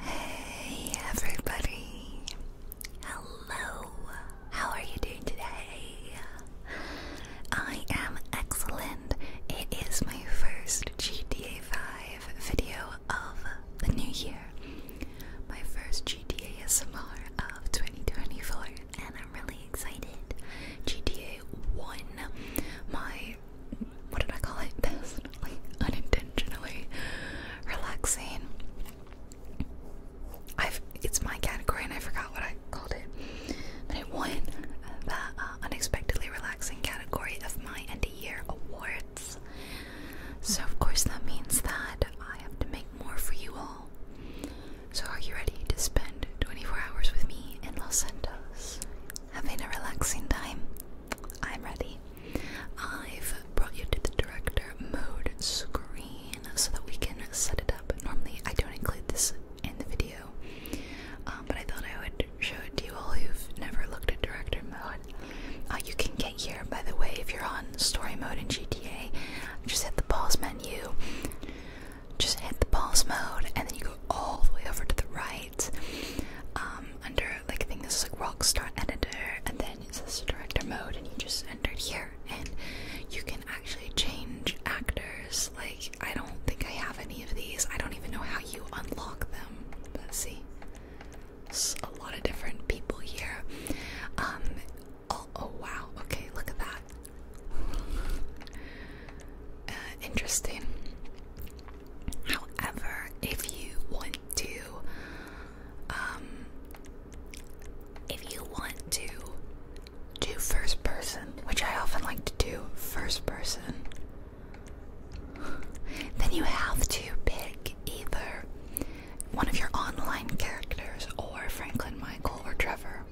Hey everybody! Hello! How are you doing today? I am excellent. It is my first GTA 5 video of the new year. My first GTA SMR of 2024, and I'm really excited. GTA 1, my what did I call it? This unintentionally relaxing. I've it's my category and I forgot what I called it. But I won the uh, unexpectedly relaxing category of my end of year awards. So of course that means that I have to make more for you all. So are you ready to spend 24 hours with me in Los Santos having a relaxing time? I'm ready. I've brought you to the director mode screen so that we can set it up. Normally, I don't include this in the video, um, but I thought I would show it to you all who've never looked at director mode. Uh, you can get here, by the way, if you're on story mode in GTA. Just hit the pause menu, just hit the pause mode, and then you go all the way over to the right. Um, under like I think this is like Rockstar Editor, and then it says Director Mode, and you just enter it here, and you can actually change actors. Like I don't think I have any of these. I don't even know how you unlock them. Let's see, There's a lot of different people here. Um. Oh, oh wow. Okay, look at that. Uh, interesting. However, if you want to, um, if you want to do first person, which I often like to do first person, then you have to pick either one of your online characters or Franklin Michael or Trevor.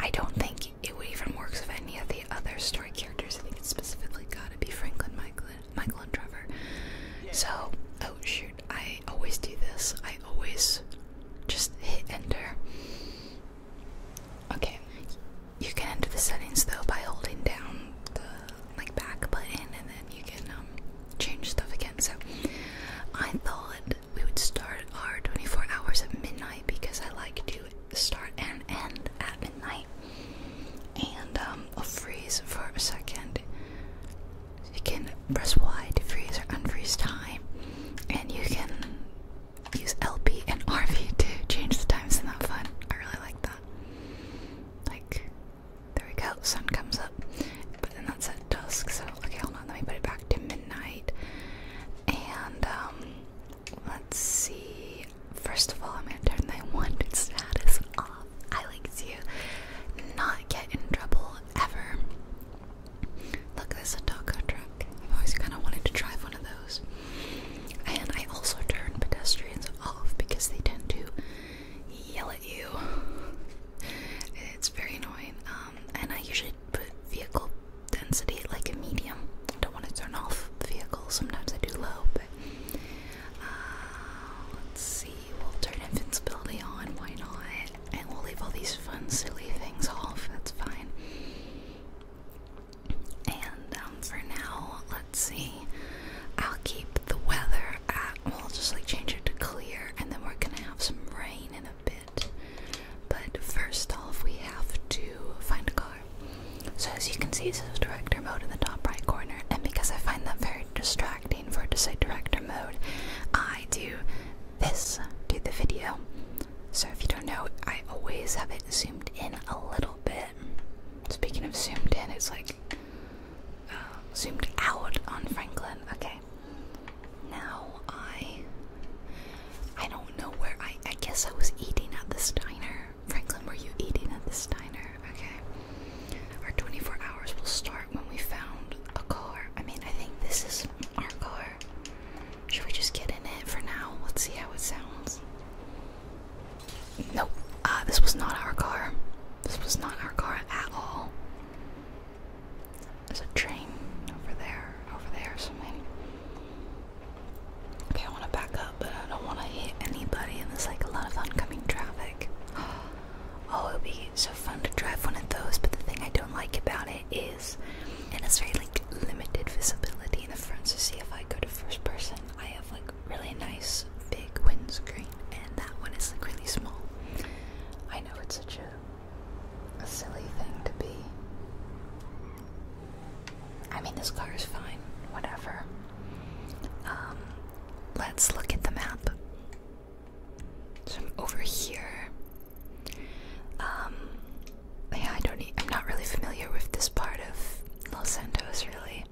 I don't think it would even work with any of the other story characters. I think it's specifically gotta be Franklin Michael Michael and Trevor. So, oh shoot, I always do this. I always just hit enter. Okay, you can enter the settings though by holding down the like back button, and then you can um, change stuff again. So, I thought we would start our 24 hours at midnight because I like to start and end at midnight and um, freeze for a second. You can press Y to freeze or unfreeze time, and you can use LP and RV to change the times. Isn't that fun? I really like that. Like, there we go. Sun comes up, but then that's at dusk. So okay, hold on. Let me put it back to midnight, and um, Let's see. First of all, I'm gonna turn my wanted status off. I like to not get in trouble ever. Look, there's a taco truck. I've always kind of wanted to drive one of those. And I also turn pedestrians off because they tend to yell at you. It's very annoying. Um, and I usually put vehicle density like a medium. I don't want to turn off vehicles. Sometimes I do low, but uh, let's see, we'll turn invincibility on, why not? And we'll leave all these fun, silly things off, that's fine. And um, for now, let's see, I'll keep the weather at, we'll just like change it to clear, and then we're gonna have some rain in a bit. But first off, we have to find a car. So as you can see, it says director mode in the top right corner, and because I find that very distracting for it to say director mode, I do this to the video. So if you don't know, I always have it zoomed in a little bit. Speaking of zoomed in, it's like uh, zoomed out on Franklin. Okay. Now I I don't know where I I guess I was eating at this diner Franklin, were you eating at this diner? Okay. Our 24 hours will start when we found a car. I mean, I think this is our car. Should we just get in it for now? Let's see how it sounds. Nope. Uh, this was not our car. This was not our car at all. There's a train over there, over there, something. Okay, I want to back up, but I don't want to hit anybody, and there's like a lot of oncoming traffic. Oh, it would be so fun to drive one of those, but the thing I don't like about it is it has very like limited visibility in the front. So see if I go to first person, I have like really nice big windscreen, and that one is like really small. I know it's such a silly thing to be I mean, this car is fine, whatever. Um, let's look at the map. So I'm over here. Um, yeah, I don't. I'm not really familiar with this part of Los Santos, really.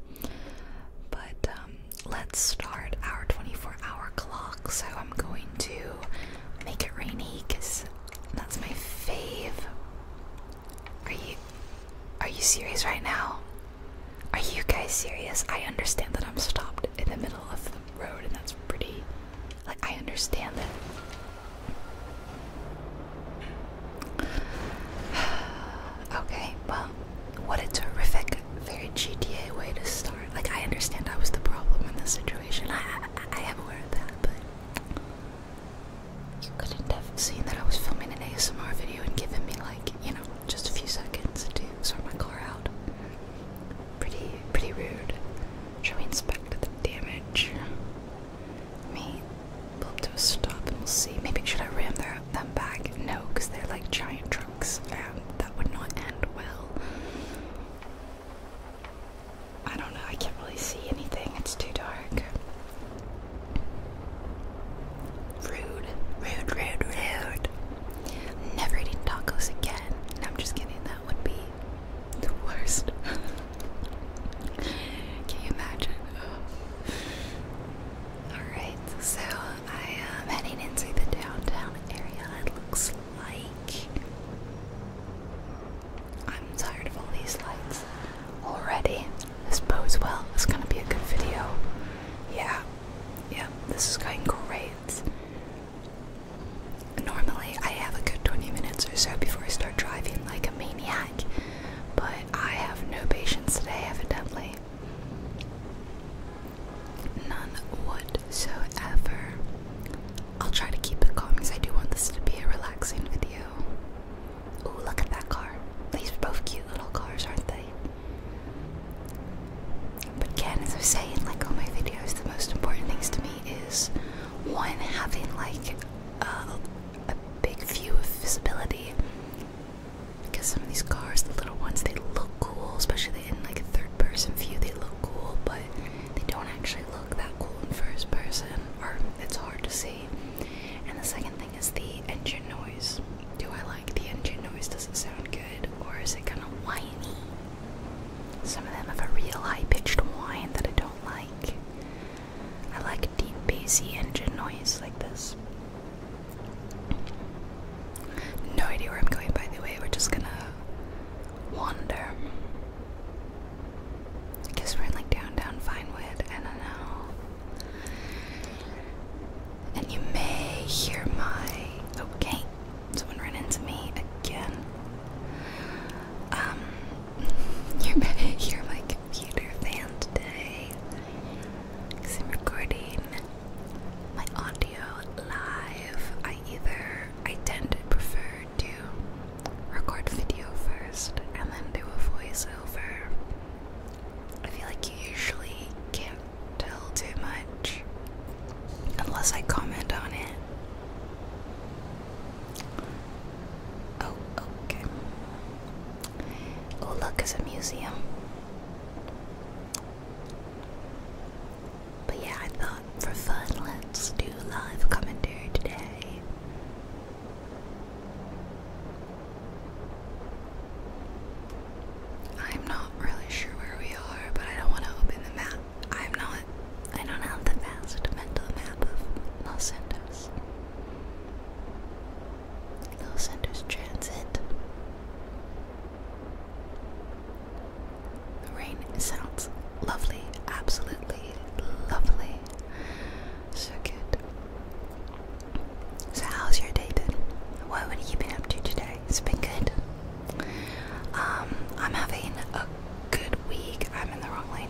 But um, let's start our 24-hour clock. So I'm going to make it rainy because that's my fave. Are you are you serious right now? Are you guys serious? I understand that I'm stopped in the middle of the road and that's pretty like I understand that. okay, well, what a terrific, very GTA way to start. Like I understand I was the problem in this situation. I I, I am aware of that, but you couldn't have seen that I was filming an ASMR video and given me like, you know, just a few seconds to sort my car out. Pretty, pretty rude. Shall we inspect the damage? Let me pull up to a stop and we'll see. Maybe should I ram them back? No, because they're like giant trucks and that would not end well. I don't know, I can't really see anything, it's too dark. Rude, rude, rude, rude. Never eating tacos again. I'm just kidding. That would be the worst. Can you imagine? Alright, so I am heading into the downtown area. It looks like. I'm tired of all these lights already. This bodes well. It's gonna be a good video. Yeah, yeah, this is going great. Normally, I have a good 20 minutes or so before I start driving like a maniac, but I have no patience today, evidently. None whatsoever. I'll try to keep it calm because I do want this to be a relaxing video. Ooh, look at that car. These are both cute little cars, aren't they? But again, as I was saying, like on my videos, the most important things to me is one, having like a big view of visibility. Because some of these cars, the little ones, they look cool, especially in like a third person view, they look cool, but they don't actually look that cool in first person, or it's hard to see. And the second thing is the engine noise. Do I like the engine noise? Does it sound good? Or is it kind of whiny? Some of them have a real high pitched whine that I don't like. I like deep bassy engine noise like this. No idea where I'm going, by the way. We're just gonna wander. I guess we're in like downtown it. I don't know. And you may hear my. Okay, someone ran into me again. Um, you may hear my computer fan today I'm recording my audio live. I either, I tend to prefer to record video first and then do a voiceover. I feel like you usually can't tell too much unless I comment on it. Oh, okay. Oh, look, it's a museum. But yeah, I thought for fun, let's do live commentary today. I'm not really sure where we are, but I don't want to open the map. I'm not, I don't have the vast mental map of Los Santos. Los Santos Transit. The rain sounds lovely, absolutely lovely. So good. So how's your day been? What have you been up to today? It's been good. Um, I'm having a good week. I'm in the wrong lane.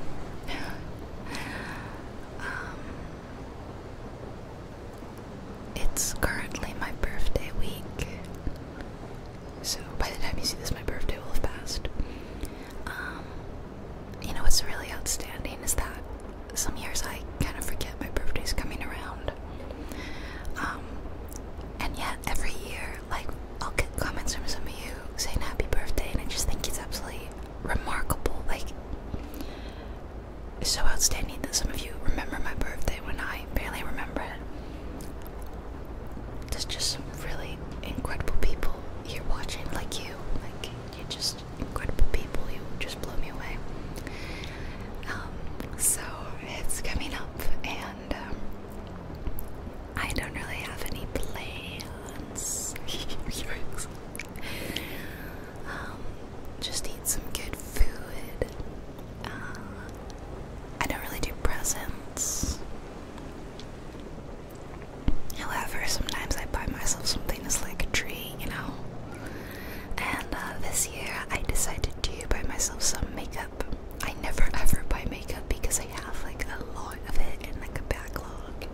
Um, it's currently my birthday week. So by the time you see this, my birthday will have passed. Um, you know what's really outstanding is that some years I kind of forget my birthday's coming around. Um, and yet every year, like, I'll get comments from some of you saying happy birthday, and I just think it's absolutely remarkable. Like, it's so outstanding that some of you remember my birthday when I barely remember it. There's just some really incredible people here watching, like you. Like, you just just incredible people. You just blow me away. Um, so it's coming up, and um, I don't really have any plans. Um, just eat some good food. Uh, I don't really do presents. However, sometimes I buy myself something that's like a treat, you know. And uh, this year I decided to buy myself some makeup. I never ever buy makeup because I have like a lot of it and like a backlog.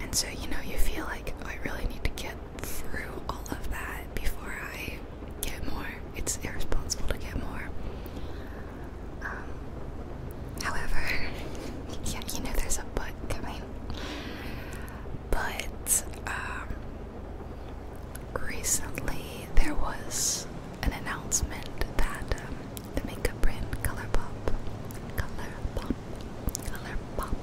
And so, you know, you feel like oh, I really need to get through all of that before I get more. It's irresponsible to get more. Um, However, yeah, you know there's a but coming. But um, recently there was an announcement that um, the makeup brand ColourPop, ColourPop, ColourPop,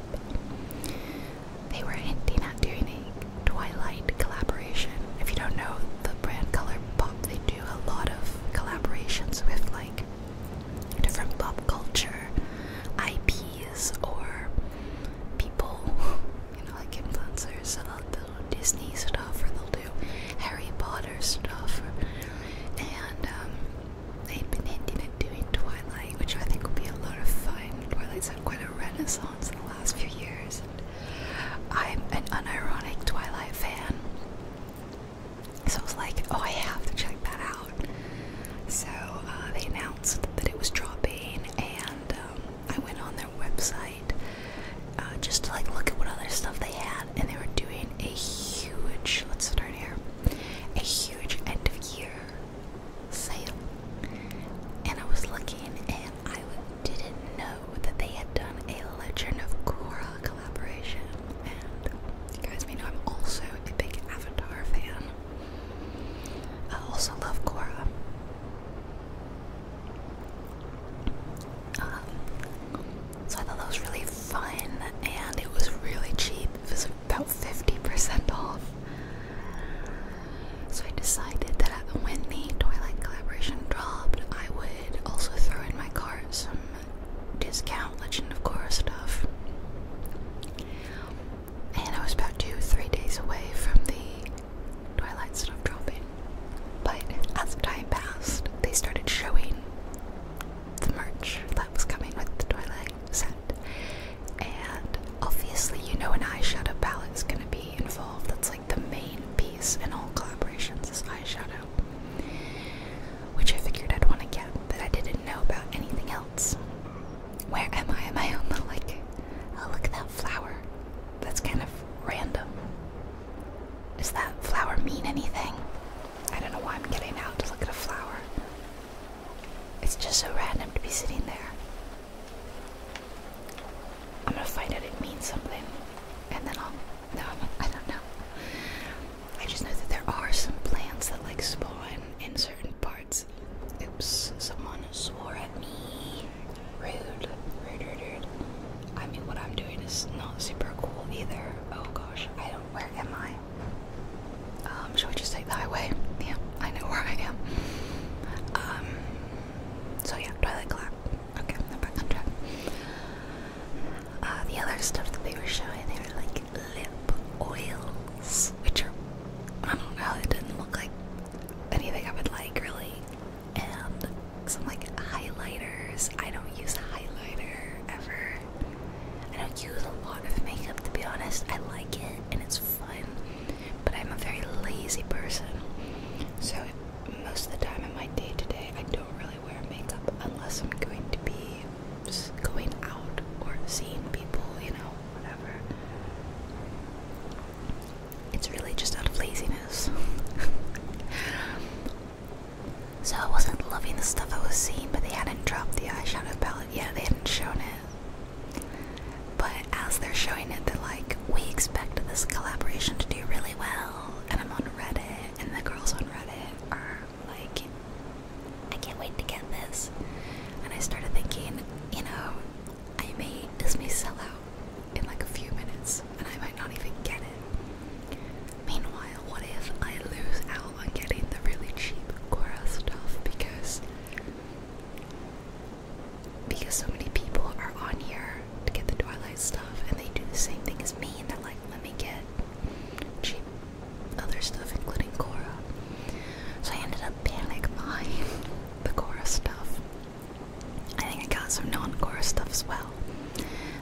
they were hinting at doing a Twilight collaboration. If you don't know the brand ColourPop, they do a lot of collaborations with like different pop culture IPs or people, you know, like influencers. So uh, they'll do Disney stuff, or they'll do Harry Potter stuff, or, and um, they've been hinting at doing Twilight, which I think will be a lot of fun. Twilight's had quite a renaissance in the last few years. And I'm an unironic Twilight fan. So I was like, oh, I have to check that out. So uh, they announced that it was dropping, and um, I went on their website uh, just to like look at what other stuff they had, and they were doing a huge. Let's start here. A huge end of year sale, and I was looking, and I didn't know that they had done a Legend of Korra collaboration. And you guys may know I'm also a big Avatar fan. I also love Korra. Um, so I thought that was really fun, and it was really cheap. It was about 50% off. So I decided that when the Twilight collaboration dropped, I would also throw in my cart some discount Legend of Korra stuff. And I was about two, three days away from the Twilight stuff dropping. But as time passed, they started showing the merch that was coming with the Twilight set. And obviously, you know, an eyeshadow is gonna be involved. That's like the main piece in all collaborations is eyeshadow which I figured I'd want to get, but I didn't know about anything else. Where am I? Am I home? like? Oh, look at that flower. That's kind of random. Does that flower mean anything? I don't know why I'm getting out to look at a flower. It's just so random to be sitting there. I'm gonna find out it means something, and then I'll. No, I'm, I will no i do not know. I just know that there are some plants that like spawn in certain parts. Oops, someone swore at me. Rude. Rude, rude, rude. I mean, what I'm doing is not super cool either. Oh gosh, I don't. Where am I? Um, should we just take the highway? Yeah, I know where I am. Um, so yeah, Twilight Clock. Okay, I'm back on track. Uh, the other stuff that they were showing, they were like lip oils, which are, I don't know, it does not look like anything I would like really. And some like highlighters. I don't use a highlighter ever. I don't use a lot of makeup to be honest. I like it and it's fun, but I'm a very lazy person. So most of the time in my day to day, I don't really wear makeup unless I'm going to be going out or seeing people, you know, whatever. It's really just out of laziness. so I wasn't loving the stuff I was seeing, but they hadn't dropped the eyeshadow palette yet, they hadn't shown it. But as they're showing it, they're like, we expect this collaboration to do really well. And I'm on Reddit, and the girls on Reddit are like, I can't wait to get this. And I started thinking, you know, I may this may sell out in like a few minutes, and I might not even get it. Meanwhile, what if I lose out on getting the really cheap Quora stuff because because so many people are on here to get the Twilight stuff, and they do the same thing as me, and they're like, let me get cheap other stuff, including Cora, So I ended up panic buying the Korra stuff. I think I got some non-Korra stuff as well.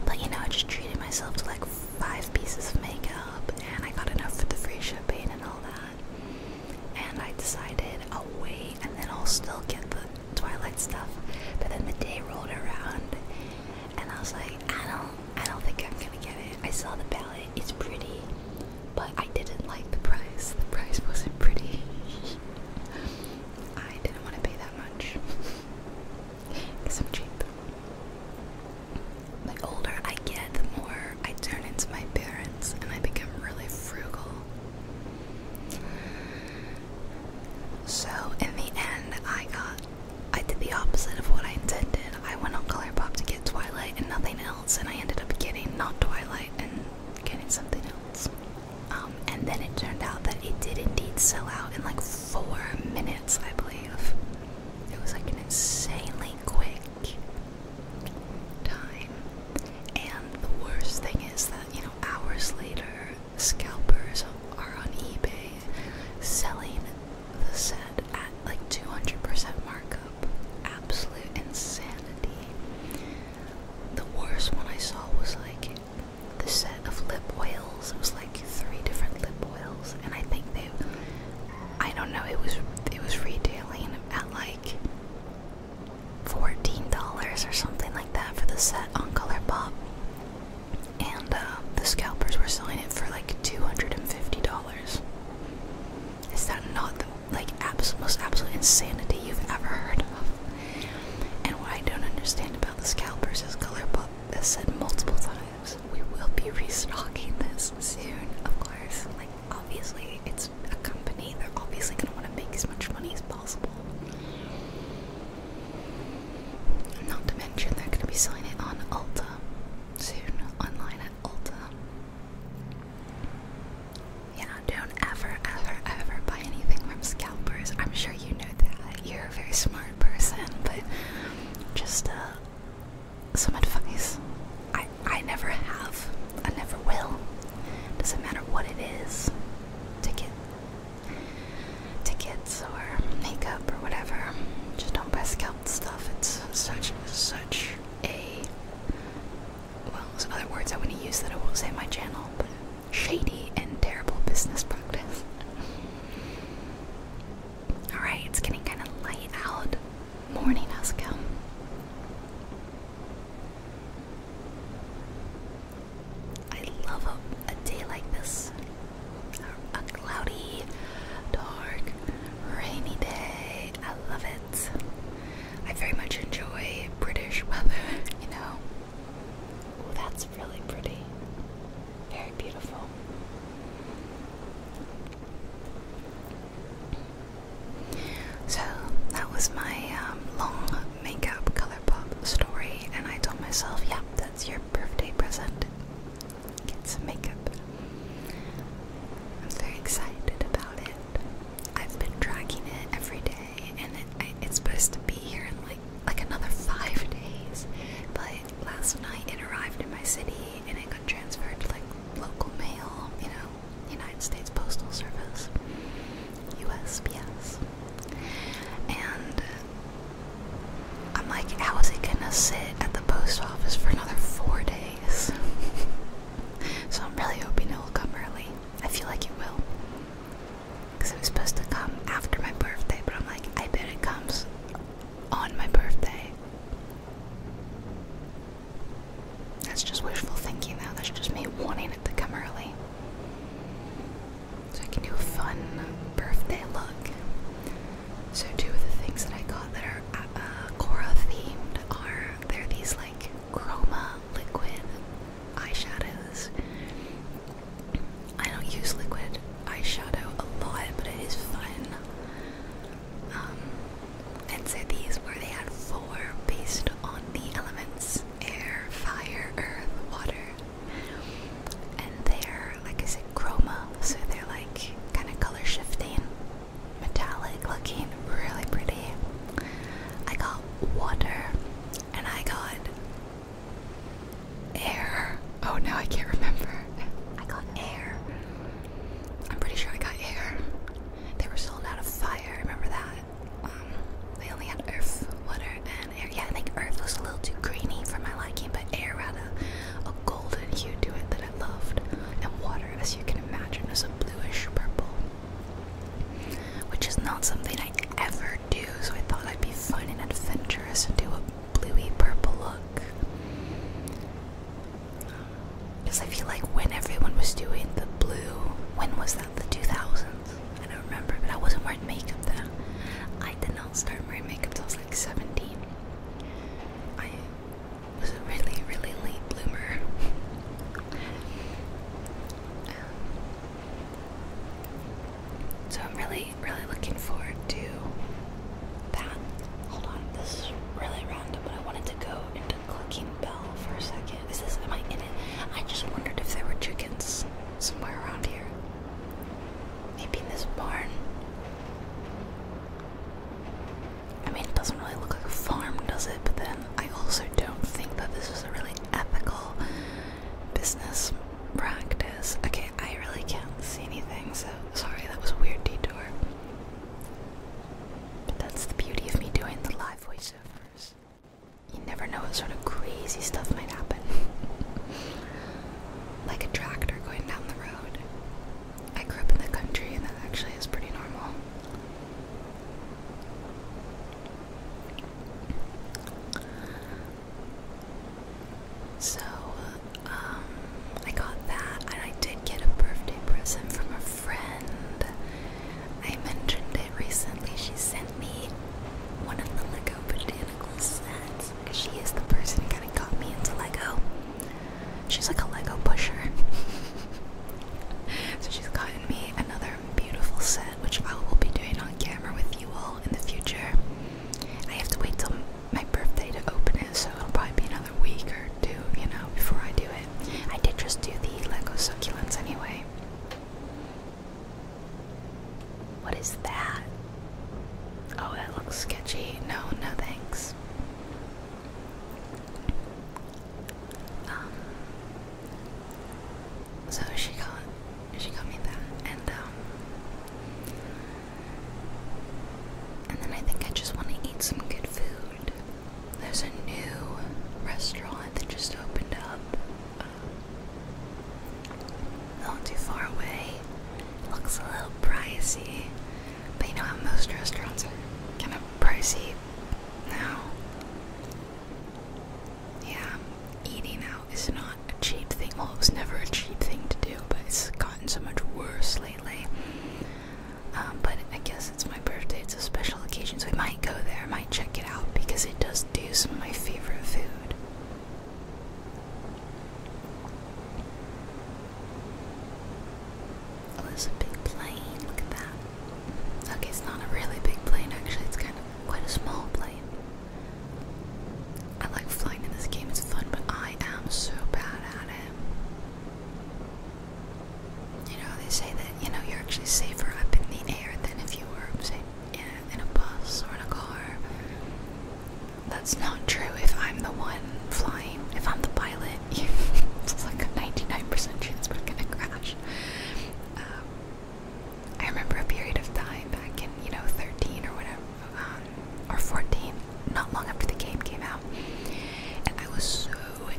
But you know, I just treated myself to like five pieces of makeup, and I got enough for the free shipping and all that. And I decided I'll oh, wait, and then I'll still get the Twilight stuff. But then the day rolled around, and I was like, I don't, I don't think I'm gonna get it. I saw the palette; it's pretty, but I didn't like the price. The price wasn't pretty. I didn't want to pay that much because I'm cheap. The older I get, the more I turn into my parents, and I become really frugal. So in the end, I got I did the opposite of what I intended. I went on Colourpop to get Twilight and nothing else, and I ended up getting not Twilight and getting something else. Um, and then it turned out that it did indeed sell out in like four minutes, I believe. It was like an insanely quick time. And the worst thing is that, you know, hours later, scalpers are on eBay selling the set at like 200% markup. Absolute insanity. The worst one I saw was like the set of lip oils. It was like three different lip oils, and I think they, I don't know, it was it was retailing at like $14 or something like that for the set on Colourpop and uh, the scalpers were selling it for like $250. Is that not the like most absolute insanity you've ever heard of? And what I don't understand about the scalpers is Colourpop has said multiple times we will be restocking this soon, of course. Like obviously it's a company, they're obviously gonna want to make as much money as possible. Not to mention they're going to be selling it on Ulta soon, online at Ulta. Yeah, don't ever, ever, ever buy anything from scalpers. I'm sure you know that. You're a very smart person, but just uh, some advice. I I never have. I never will. Doesn't matter what it is. Take it tickets or makeup or whatever. Just don't buy scalped stuff. It's such such a well, there's other words I wouldn't use that I won't say on my channel, but shady and terrible business practice. Alright, it's getting kind of light out. Morning has come. I love a day like this a cloudy, dark, rainy day. I love it. I very much enjoy British weather, you know. Oh, that's really pretty. Very beautiful. So, that was my um, long makeup color pop story, and I told myself, yeah, that's your birthday present get some makeup. I'm very excited about it. I've been tracking it every day, and it, I, it's supposed to be here in like like another five days. But last night it arrived in my city, and it got transferred to like local mail. You know, United States Postal Service, USPS, and I'm like, how is it gonna sit at the post office for another four days? so I'm really hoping it will come early. I feel like it will. Because it was supposed to come after my birthday, but I'm like, I bet it comes on my birthday. That's just wishful thinking, though. That's just me wanting it to come early. So I can do a fun birthday look. So two of the things that I got that are uh, Cora uh, themed are they're these like chroma liquid eyeshadows. I don't use liquid eyeshadow a lot, but it is fun. Um, and so these were they had four based on the elements air, fire, earth, water, and they're like I said chroma, so they're like kind of color shifting, metallic looking, really pretty. I got water, and I got air. Oh no, I can't remember. I got air. I'm pretty sure I got air. They were sold out of fire. Remember that? Um, they only had earth, water, yeah, I think earth was a little too greeny for my liking, but air had a, golden hue to it that I loved. And water, as you can imagine, was a bluish purple, which is not something I ever do, so I thought I'd be fun and adventurous and do a bluey purple look. Because I feel like when everyone was doing the blue, when was that? The 2000s? I don't remember, but I wasn't wearing makeup then. I did not start wearing makeup till I was like 17. I was a really, really late bloomer. so I'm really, really looking forward to that. Hold on, this is really random, but I wanted to go into clicking Bell for a second. Is this, am I in it? I just wondered if there were chickens somewhere around here. Maybe in this barn. I mean, it doesn't really look like a farm, does it? But then I also don't think that this is a really ethical business practice. Okay, I really can't see anything, so sorry, that was a weird detour. But that's the beauty of me doing the live voiceovers. You never know what sort of crazy stuff might happen. like a tractor going down the road. I grew up in the country and that actually is pretty normal. So, um, I got that, and I did get a birthday present from a friend. I mentioned it recently. She sent me one of the Lego Botanicals sets because she is the person who kind of got me into Lego. She's like a Lego pusher. so she's gotten me another beautiful set, which I will be doing on camera with you all in the future. I have to wait till my birthday to open it, so it'll probably be another week or two, you know, before I do it. I did just do the Lego succulents anyway. What is that? Oh, that looks sketchy. No, no thanks. Um, so she got she got me that, and um, and then I think I just want to eat some good food. There's a new restaurant that just opened up. Not too far away. Looks a little pricey. But you know how most restaurants are kind of pricey now? Yeah, eating out is not a cheap thing. Well, it was never a cheap thing to do, but it's gotten so much worse lately. Um, but I guess it's my birthday, it's a special occasion, so we might go there, might check it out because it does do some of my favorite food. Oh, it's a big plane. Look at that. Okay, it's not a really big plane actually. It's kind of quite a small plane. I like flying in this game. It's fun, but I am so bad at it. You know, they say that, you know, you're actually safer up in the air than if you were, say, in a bus or in a car. That's not true if I'm the one flying. If I'm the pilot, you, it's like a 99% chance we're gonna crash. Um, I remember a period of time back in, you know, 13 or whatever, um, or 14, not long after the game came out, and I was so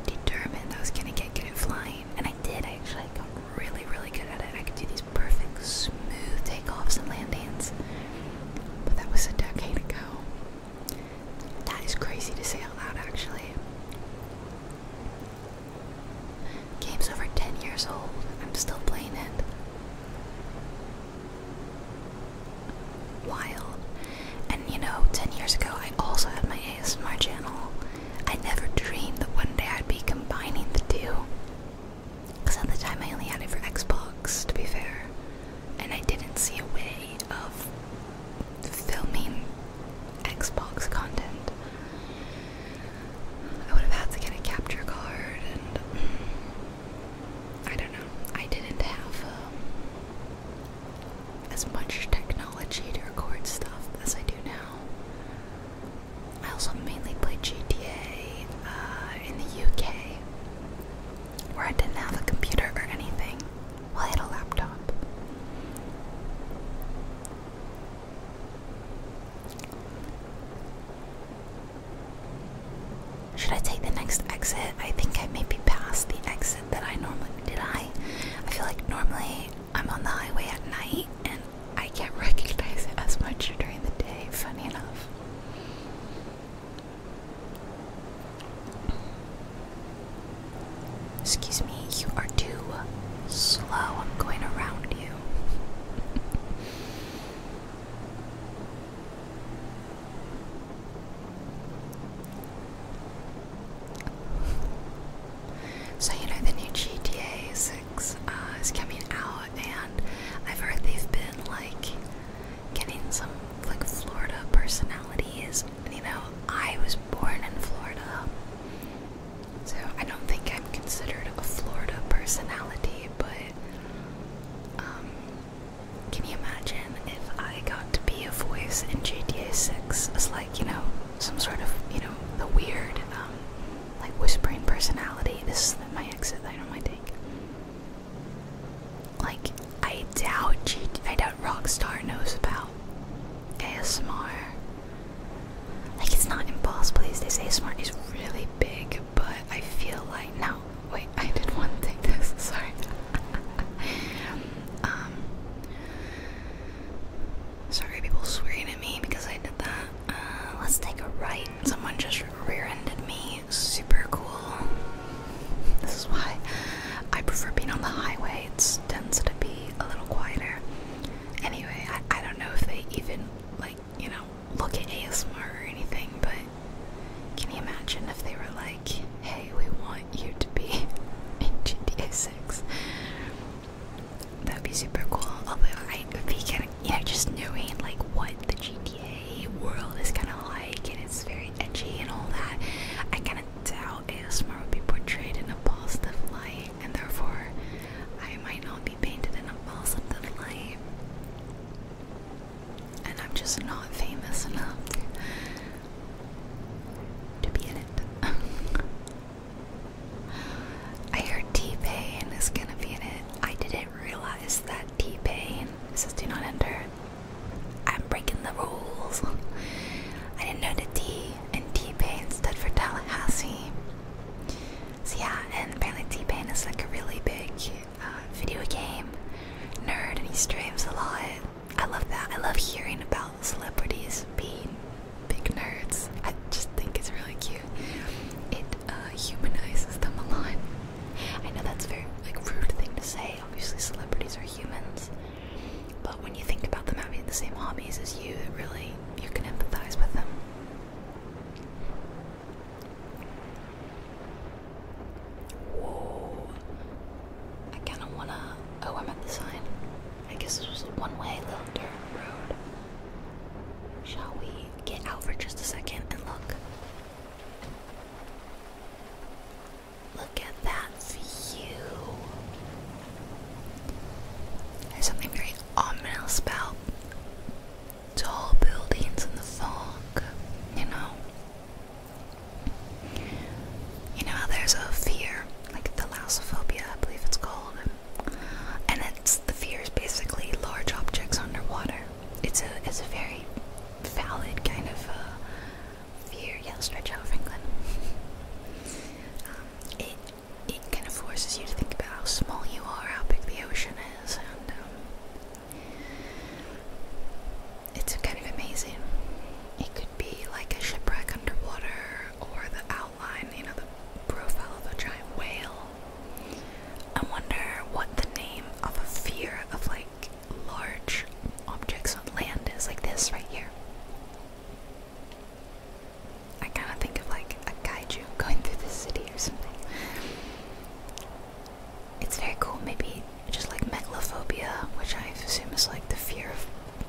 determined I was gonna get good at flying, and I did I actually. I got really, really good at it. I could do these perfect, smooth takeoffs and landings. But that was a decade ago. That is crazy to say out loud, actually. Game's over 10 years old. I'm still playing it. Wild. And you know, 10 years ago, I also had my ASMR channel. I never dreamed that one day I'd be combining the two. Because at the time I only had it for Xbox, to be fair, and I didn't see a way of filming Xbox content. I would have had to get a capture card, and I don't know. I didn't have um, as much technology to record stuff as I do now. I also mainly played GTA uh, in the UK, where I didn't have a computer or anything. Well, I had a laptop. Should I take the next exit? I think I may be past the exit that I normally did. I, I feel like normally I'm on the highway at night, and I can't recognize it as much during the day, funny enough. Excuse me, you are too slow. I'm going around you. so, you know, the new GTA uh, is coming out, and I've heard they've been like getting some like Florida personalities. you know, I was born in Florida, so I don't think I'm considered a Florida personality. But um, can you imagine if I got to be a voice in GTA Six? It's like you know some sort of you know the weird um, like whispering personality. This is my exit that I not take. Like I doubt I doubt Rockstar knows about ASMR. Like it's not impossible they say. ASMR is really big, but I feel like now wait, I did one thing this, sorry. um Sorry people swearing at me because I did that. Uh, let's take a right. Someone just rear-ended me. Super cool. This is why I prefer being on the highway. It tends to be a little quieter. Anyway, I, I don't know if they even, like, you know, look at ASMR or anything, but can you imagine if they were like, hey, we want you to be in GTA 6? That'd be super cool. I would be kind yeah, just knowing like what the GTA world is kind of like, and it's very edgy and all that. I kind of doubt ASMR would be portrayed in a positive light, and therefore, I might not be painted in a positive light. And I'm just not famous enough to be in it. I heard T-Pain is gonna be in it. I didn't I realized that T Pain says do not enter. I'm breaking the rules. I didn't know the T and T Pain stood for Tallahassee. So yeah, and apparently T Pain is like a really big uh, video game nerd, and he streams a lot. I love that. I love hearing about celebrities being big nerds. I just think it's really cute. It humanizes them a lot. I know that's a very like rude thing to say. Obviously, celebrities are humans, but when you think about them having the same hobbies as you, it really you can empathize with them. Whoa! I kind of wanna. Oh, I'm at the sign. I guess this was a one-way little dirt road. Shall we? get out for just a second and look. Look at that view. There's something very ominous about tall buildings in the fog, you know. You know how there's a fear, like thalassophobia, I believe it's called, and it's the fear is basically large objects underwater. It's a it's a very valid kind of uh, fear. Yeah, stretch out, Franklin. Um, it it kind of forces you to think about how small you are, how big the ocean is, and um, it's kind of amazing. It could be like a shipwreck underwater, or the outline, you know, the profile of a giant whale, I wonder what the name of a fear of like large objects on land is, like this right here. I kind of think of like a kaiju going through the city or something. It's very cool, maybe just like megalophobia, which I assume is like the fear of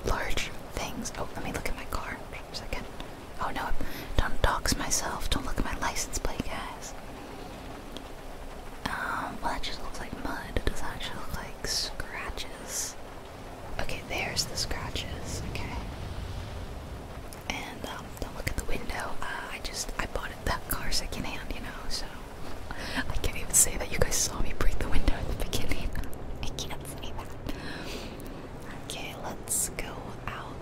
large things. Oh, let me look at my car second. Oh no, don't dox myself. Don't look at my license plate, guys. Um, well that just looks like mud. It doesn't actually look like scratches. Okay, there's the scratches. Okay. And um, don't look at the window. Uh, I just, I bought it that car secondhand, you know, so. I can't even say that you guys saw me break the window at the beginning. I can't say that. Okay, let's go out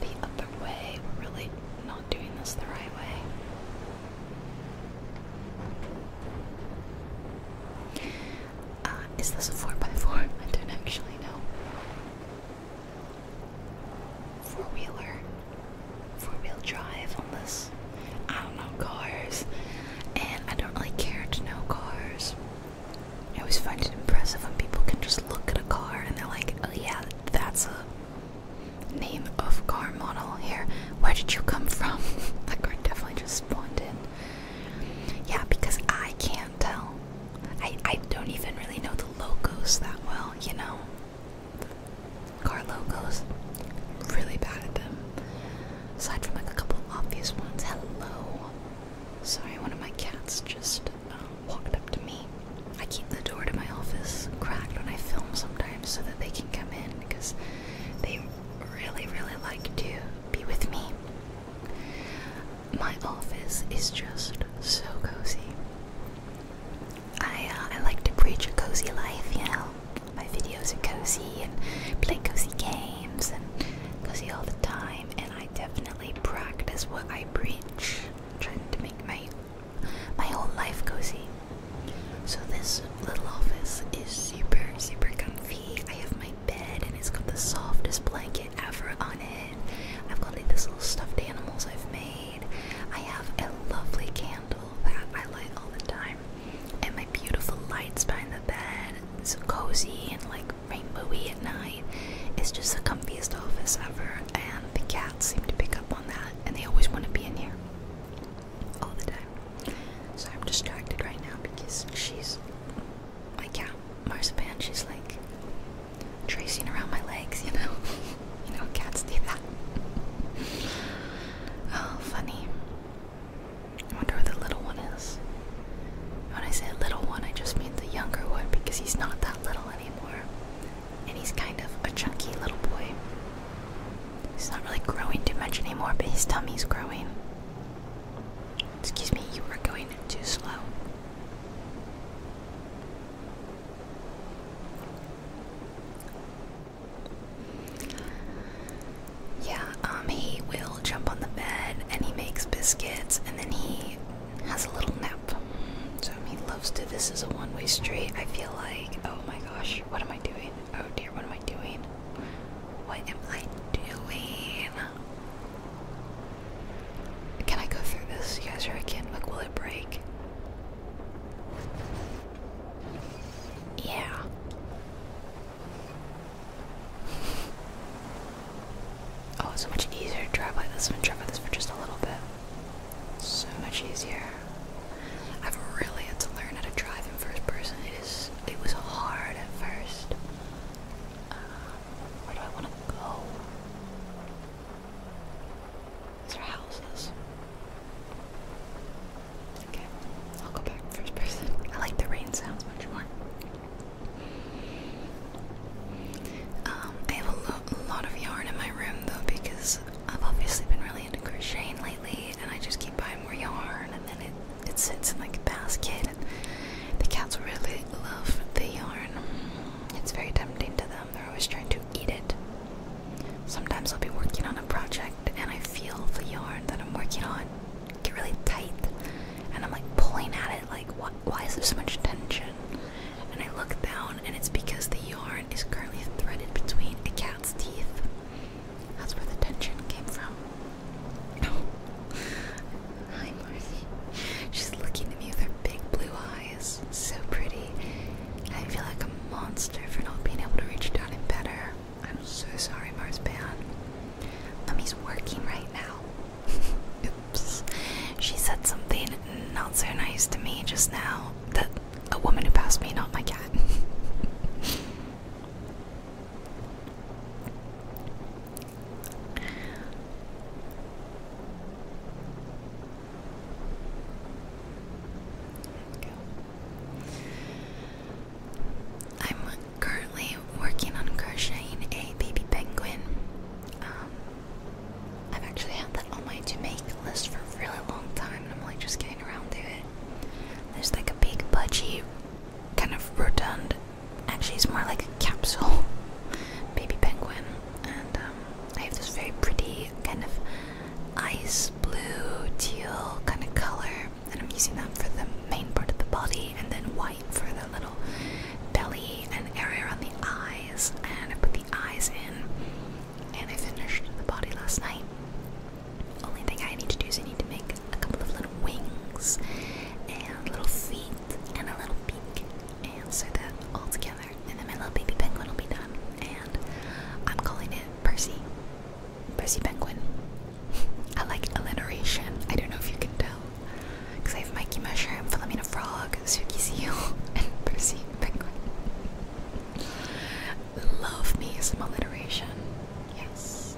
the other way. We're really not doing this the right way. Uh, is this a 4x4? I don't actually know. Four wheeler, four wheel drive on this. I don't know cars, and I don't really care to know cars. I always find it impressive when people can just look at a car and they're like, oh yeah, that's a name of car model here. Where did you come from? that car definitely just spawned in. Yeah, because I can't tell. I, I don't even really know the logos that well, you know? Car logos. really bad at them. Aside from like a couple obvious ones. Hello. Sorry, one of my cats just um, walked up to me. I keep the door to my office cracked when I film sometimes so that they can come in because they really, really like to be with me. My office is just so cozy. I uh, I like to preach a cozy life, you know. My videos are cozy and play cozy games and cozy all the time, and I definitely practice what I preach. I'm trying to make my my whole life cozy. So this little office is super, super comfy. I have my bed and it's got the softest blanket ever on it. I've got like this little stuffed animals I've made. I have a lovely candle that I light all the time. And my beautiful lights behind the bed. So cozy and like rainbowy at night. It's just the comfiest office ever, and the cats seem to pick up on that, and they always want to be in here all the time. So I'm distracted right now because she's my cat, Marzipan. She's like tracing around my legs, you know. you know, cats do that. oh, funny. I wonder where the little one is. When I say little one, I just mean the younger one because he's not that little anymore. And he's kind of a chunky little boy. He's not really growing too much anymore, but his tummy's growing. Excuse me, you are going too slow. Yeah, um, he will jump on the bed and he makes biscuits and then he has a little nap. So he loves to. This is a one way street. I feel like, oh my gosh, what am I doing? Oh dear, what am I doing? What am I doing? Can I go through this? You guys are I Like, will it break? Yeah. Oh, it's so much easier to drive like this I'm gonna drive like this for just a little bit. So much easier. I've really had to learn how to drive in first person. It is it was hard at first. Uh, where do I wanna go? These are houses. Okay, I'll go back first person. I like the rain sounds much more. Um, I have a, lot of yarn in my room though because I've obviously been really into crocheting lately, and I just keep buying more yarn, and then it it sits in like a basket. And the cats really love the yarn. It's very tempting to them. They're always trying to eat it. Sometimes I'll be working on a project and I feel the yarn that I'm working on get really tight and I'm like pulling at it like why, is there so much tension? And I look down and it's because the yarn is currently threaded between a cat's teeth. That's where the tension came from. Hi Marcy. She's looking at me with her big blue eyes. So pretty. I feel like a monster for not being able to reach down and better. I'm so sorry, Mars Mummy's working right now. Oops. She said something not so nice to me just now. That a woman who passed me, not my cat. I'm currently working on crocheting a baby penguin. Um, I've actually had that on my to make list for a really long time, and I'm like just getting around to it. There's like a big budgie, kind of rotund. Actually, it's more like a capsule baby penguin, and I um, have this very pretty kind of ice blue teal kind of color, and I'm using that for the main part of the body, and then white for the little belly and area on the eyes, and I put the eyes in, and I finished the body last night. Only thing I need to do is I need to make a couple of little wings, and little feet, and a little beak, and so that all together, and then my little baby penguin will be done, and I'm calling it Percy. Percy Penguin. I like alliteration. I don't know if you can tell. Because I have Mikey Mushroom, Philomena Frog, Suki Seal, and Percy Penguin. Love me some alliteration. Yes.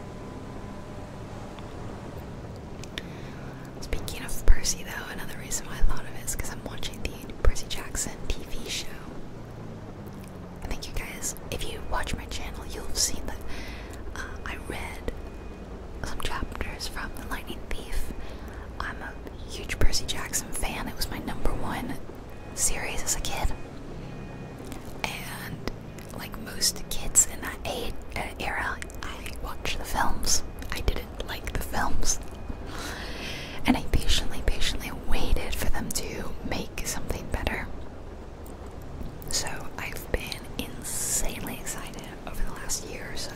Speaking of Percy, though, another reason why I thought of it is because I'm watching the Percy Jackson TV show. Thank you guys. If you watch my channel, you'll have seen that uh, I read some chapters from The Lightning Thief. I'm a huge Percy Jackson fan. It was my number one series as a kid. And like most kids in that uh, era, I watched the films. I didn't like the films. And I patiently, patiently waited for them to make something better. So I've been insanely excited over the last year or so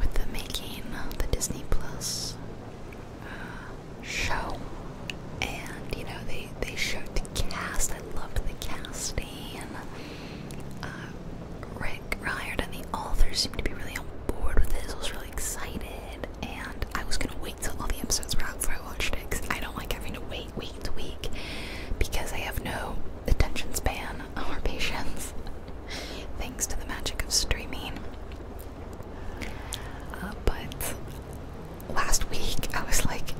with the making of the Disney Plus uh, show. And you know, they, they showed the cast. I loved the casting. and uh, Rick Riordan and the authors seemed to be really on board with this. I was really excited. And I was gonna wait till all the episodes were out before I watched it because I don't like having to wait week week because I have no attention span or patience, thanks to the magic of streaming. Uh, but last week I was like,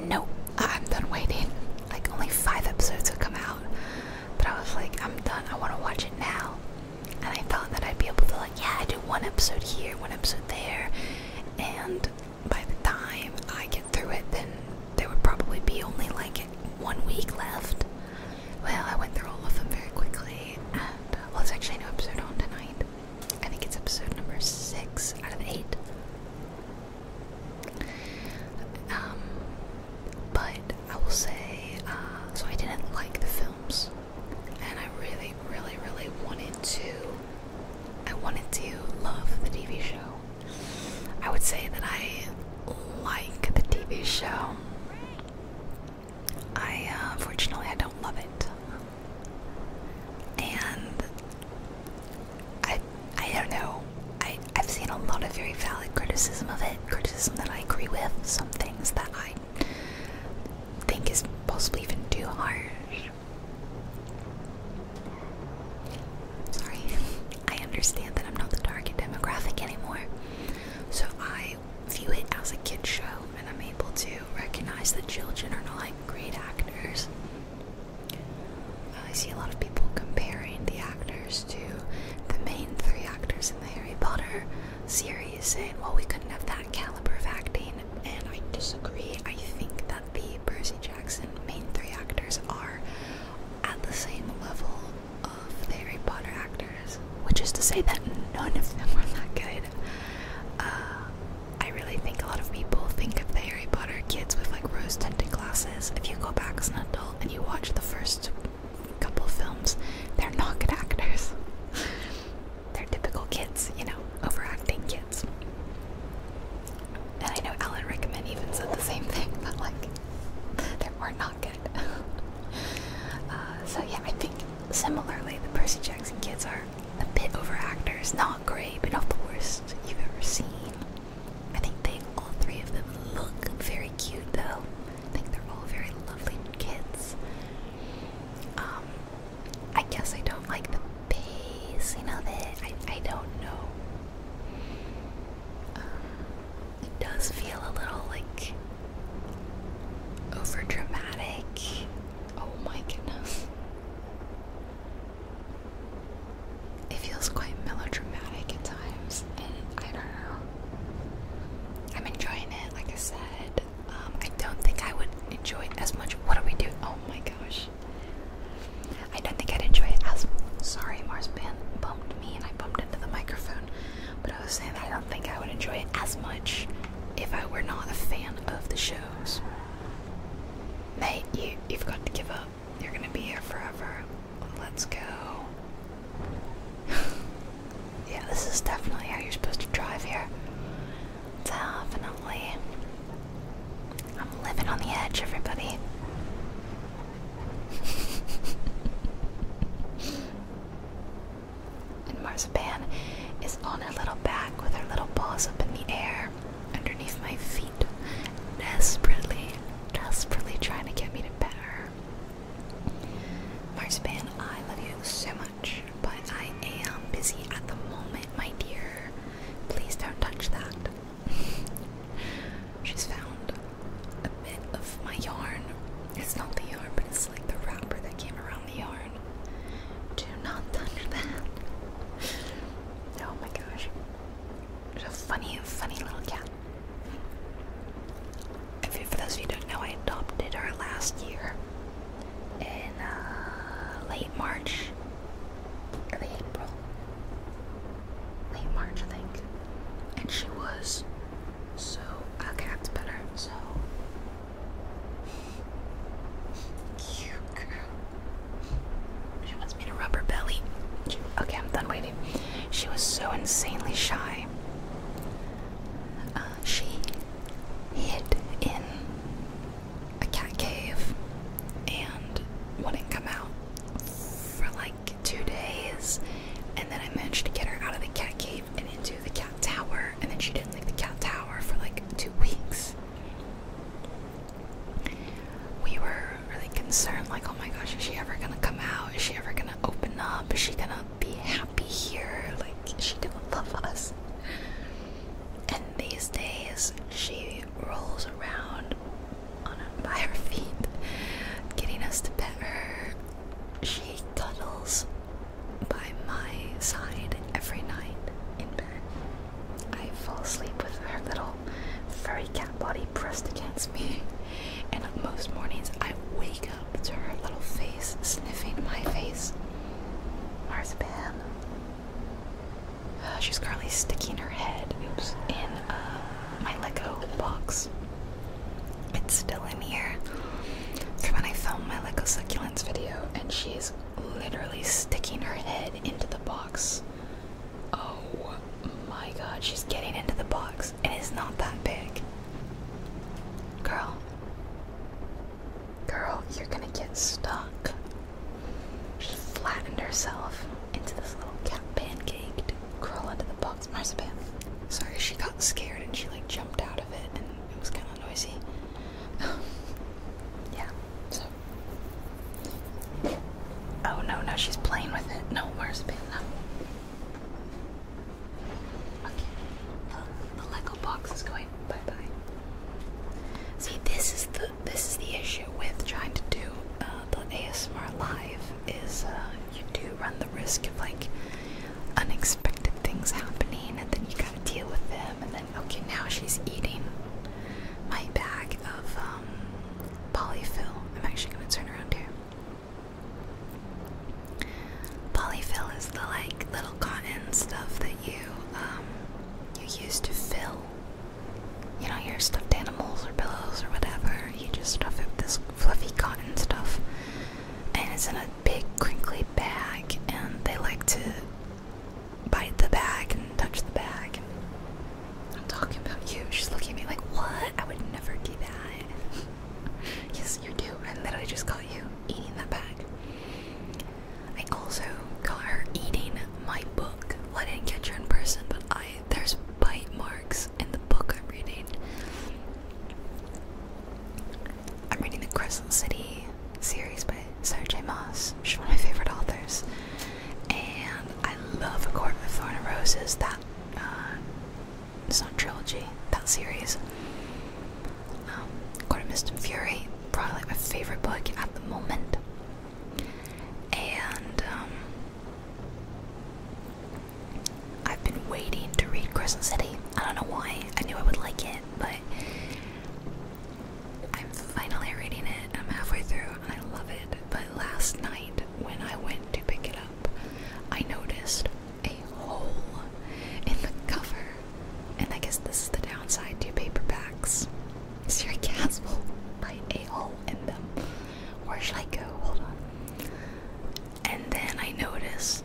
nope, I'm done waiting. Like, only five episodes have come out, but I was like, I'm done, I want to watch it now. And I thought that I'd be able to, like, yeah, I do one episode here, one episode there, and by the time I get through it, then there would probably be only like one week left. Well, I went through all of them very quickly, and uh, well, it's actually no episode on tonight. I think it's episode number six out of eight. Um, but I will say, uh, so I didn't like the films, and I really, really, really wanted to. I wanted to love the TV show. I would say that I like the TV show. I, unfortunately uh, I don't love it. And I, I don't know. I, I've seen a lot of very valid criticism of it, criticism that I agree with, some things that I think is possibly even too harsh. Sorry, I understand that I'm not the target demographic anymore. So I view it as a kid show, and I'm able to recognize that children are not great actors. I see a lot of people comparing the actors to the main three actors in the Harry Potter series, saying, well, we couldn't have that caliber of acting, and I disagree. I think that the Percy Jackson main three actors are at the same level of Harry Potter actors, which is to say that none of them were that good. Uh, I really think a lot of people think of the Harry Potter kids with like rose tinted glasses. If you go back as an adult and you watch the first couple films, they're not good actors. they're typical kids, you know, overacting kids and I know Alan Rickman even said the same thing, but like they were not good. uh, so yeah, I think similarly the Percy Jackson kids are a bit over actors, not great, but not the worst you've ever seen. I think they all three of them look very cute though. I think they're all very lovely kids. Um, I guess I don't like the pacing of it. I I don't know um, it does feel a little like over Oh my goodness. It feels quite melodramatic at times, and I don't know. I'm enjoying it, like I said. Um, I don't think I would enjoy it as much. What do we do? Oh my gosh. I don't think I'd enjoy it as sorry Mars, Ben bumped me and I bumped into the microphone, but I was saying that I don't think I would enjoy it as much if I were not a fan of the shows. Mate, you you've got to give up. You're gonna be here forever. Let's go. yeah, this is definitely how you're supposed to drive here. Definitely. I'm living on the edge, everybody. and Marzipan is on her little back with her little paws up in the air underneath my feet, desperately, desperately trying to get me to pet her. Marzipan, I love you so much, but I am busy at the moment, my dear. Please don't touch that. She's found a bit of my yarn. It's not the yarn, but it's like the wrapper that came around the yarn. Do not touch that. Oh my gosh. It's a funny, funny little cat. If for those of you who don't know, I adopted her last year in uh, late March, early April late March, I think. And she was. So, okay, that's better. So. Cute girl. She wants me to rub her belly. okay, I'm done waiting. She was so insanely shy. Uh, she hid in a cat cave and wouldn't come out for like two days, and then I managed to get her out of the cat cave and into the cat tower, and then she didn't like the cat tower for like two weeks. We were really concerned, like, oh my gosh, is she ever gonna come out? Is she ever gonna open up? Is she gonna be happy here? Like, is she gonna love us? And these days, she rolls around on by her feet, getting us to pet her. She cuddles by my side every night in bed. I fall asleep with her little furry cat body pressed against me, and most mornings I wake up to her little face sniffing my face. Where's uh, she's currently sticking her head oops, in uh, my Lego box. It's still in here from when I filmed my Lego succulents video, and she's literally sticking her head into the box. Oh my god, she's getting into the box, and it's not that big. Girl, girl, you're gonna get stuck. She flattened herself into this little cat pancaked Crawl under the box marzipan. Sorry, she got scared and she like jumped out of it and it was kind of noisy. yeah, so. Oh no, no, she's playing with it. No, marzipan, no. Okay, the Lego box is going bye bye. See, this is the this is the issue with trying to do uh, the ASMR live is uh, you do run the risk of like unexpected things happening and then you gotta deal with them and then okay now she's eating my bag of um, polyfill. I'm actually gonna turn around here. Polyfill is the like little cotton stuff that you um, you use to fill you know, your stuffed animals or pillows or whatever. You just stuff it with this fluffy cotton stuff, and it's in a big crinkly bag. And they like to bite the bag and touch the bag. I'm talking about you. She's looking at me like, "What? I would never do that." yes, you do. I literally just caught you eating that bag. I also caught her eating my book. I didn't get you in person, but I there's bite marks in the book I'm reading. I'm reading the Crescent City series by Sarah J. Moss. She's one of my favorite authors, and I love A Court of Thorn and Roses. That uh, it's not trilogy. That series. Um, Court of Mist and Fury, probably my favorite book at the moment and um, I've been waiting to read *Christmas City. I don't know why. I knew I would like it, but I'm finally reading it. I'm halfway through and I love it. But last night, when I went to pick it up, I noticed a hole in the cover. And I guess this is the downside to paperbacks. Sierra Castle by a in them. Where should I go? Hold on. And then I noticed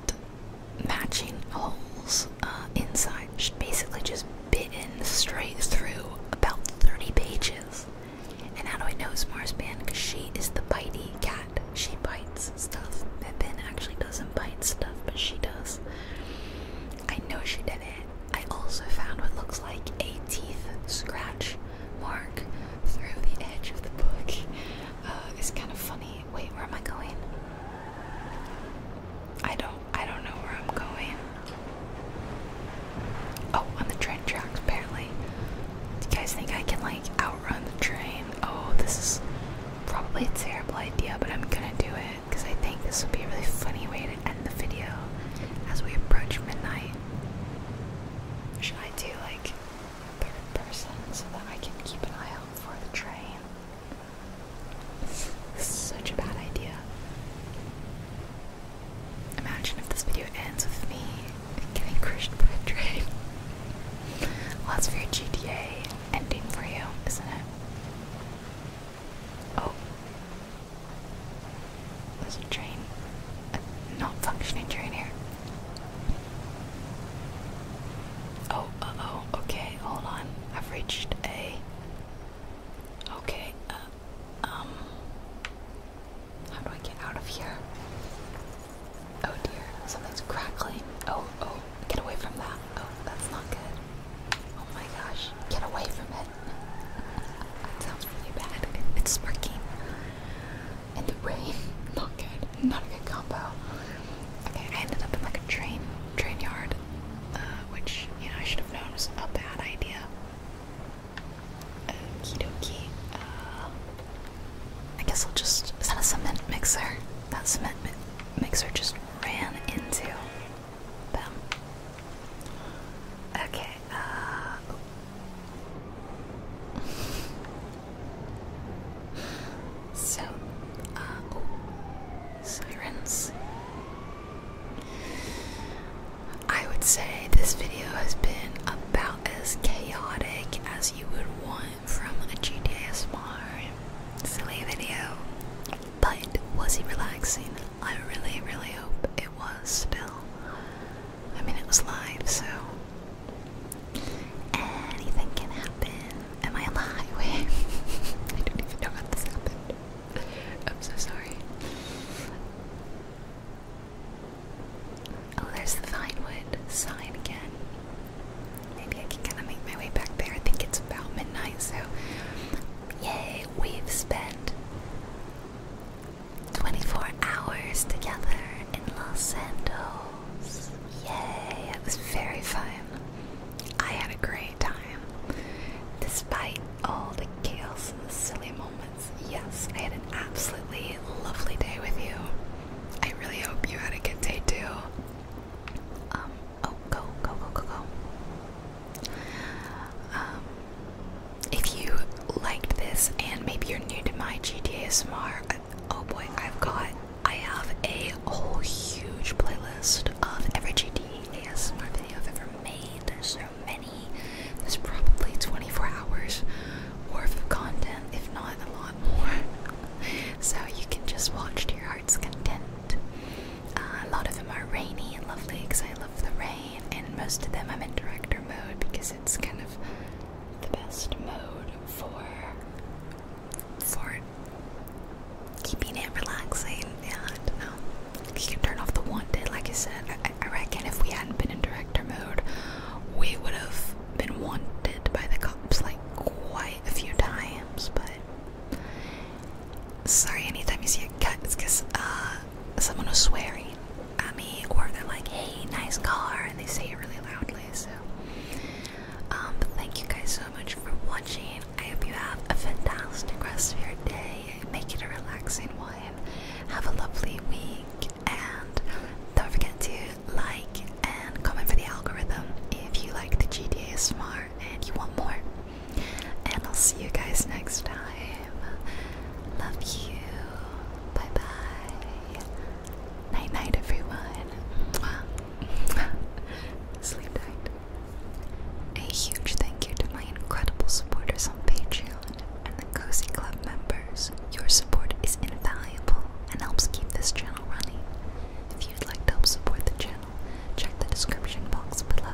matching holes uh, inside. She basically just bitten straight through about 30 pages. And how do I know it's Marspan? Because she is the bitey cat. She bites stuff. And Ben actually doesn't bite stuff, but she does. I know she did it. I also found what looks like a teeth scratch mark through the edge of the book. Uh, it's kind of funny. Wait, where am I going? I don't. I don't know where I'm going. Oh, on the train tracks apparently. Do you guys think I can like outrun the train? Oh, this is probably a terrible idea, but I'm gonna do it because I think this would be a really funny way to end the video as we approach midnight. Should I do like third person so that I can keep an eye out for the train? such a bad idea. Imagine if this video ends with me getting crushed by a train. Well, that's very GTA ending for you, isn't it? Oh. There's a train. A not functioning train here. Oh, uh oh, okay, hold on. I've reached a. Okay, uh, um. How do I get out of here? Oh dear, something's crackling. Oh, oh, get away from that. Oh, that's not good. Oh my gosh, get away from it. That sounds really bad. It's sparking. And the rain. Not good. Not a good combo. Okay, I ended up in like a train train yard. Uh, which, you know, I should have known was a bad idea. Um, Okie dokie. Uh, I guess I'll just. Is a cement mixer? That cement mixer just ran into Okay, uh, so, uh, oh, Sirens. I would say this video has been about as chaotic as you would want from a GTA Smart silly video. But was he relaxing? I really, really hope it was still. I mean, it was live, so anything can happen. Am I on the highway? I don't even know how this happened. I'm so sorry. Oh, there's the Vinewood sign again. Maybe I can kind of make my way back there. I think it's about midnight, so Yay, we've spent 24 hours together in Los Santos. Yay, it was very fun. I had a great time. Despite all the chaos and the silly moments, yes, I had an absolutely lovely day with you. I really hope you had a good day too. Um, oh, go, go, go, go, go. Um, if you liked this and maybe you're new to my GTA SMR, oh boy, I've got I have a whole huge playlist of every GTA ASMR video I've ever made. There's so many. There's probably 24 hours worth of content, if not a lot more. So you can just watch to your heart's content. Uh, a lot of them are rainy and lovely because I love the rain, and most of them I'm in director mode because it's kind of the best mode for for keeping it relaxing. Yeah, I um, You can turn off the wanted, like I said. I, I reckon if we hadn't been in director mode, we would have been wanted by the cops like quite a few times, but sorry anytime you see a cat it's because uh, someone was swearing at me or they're like hey nice car and they say it really loudly so um, thank you guys so much for watching i hope you have a fantastic rest of your day make it a relaxing one have a lovely week and don't forget to like and comment for the algorithm if you like the gta smart and you want more and I'll see you guys next time. Love you. Bye bye. Night night, everyone. Sleep tight. A huge thank you to my incredible supporters on Patreon and the Cozy Club members. Your support is invaluable and helps keep this channel running. If you'd like to help support the channel, check the description box below.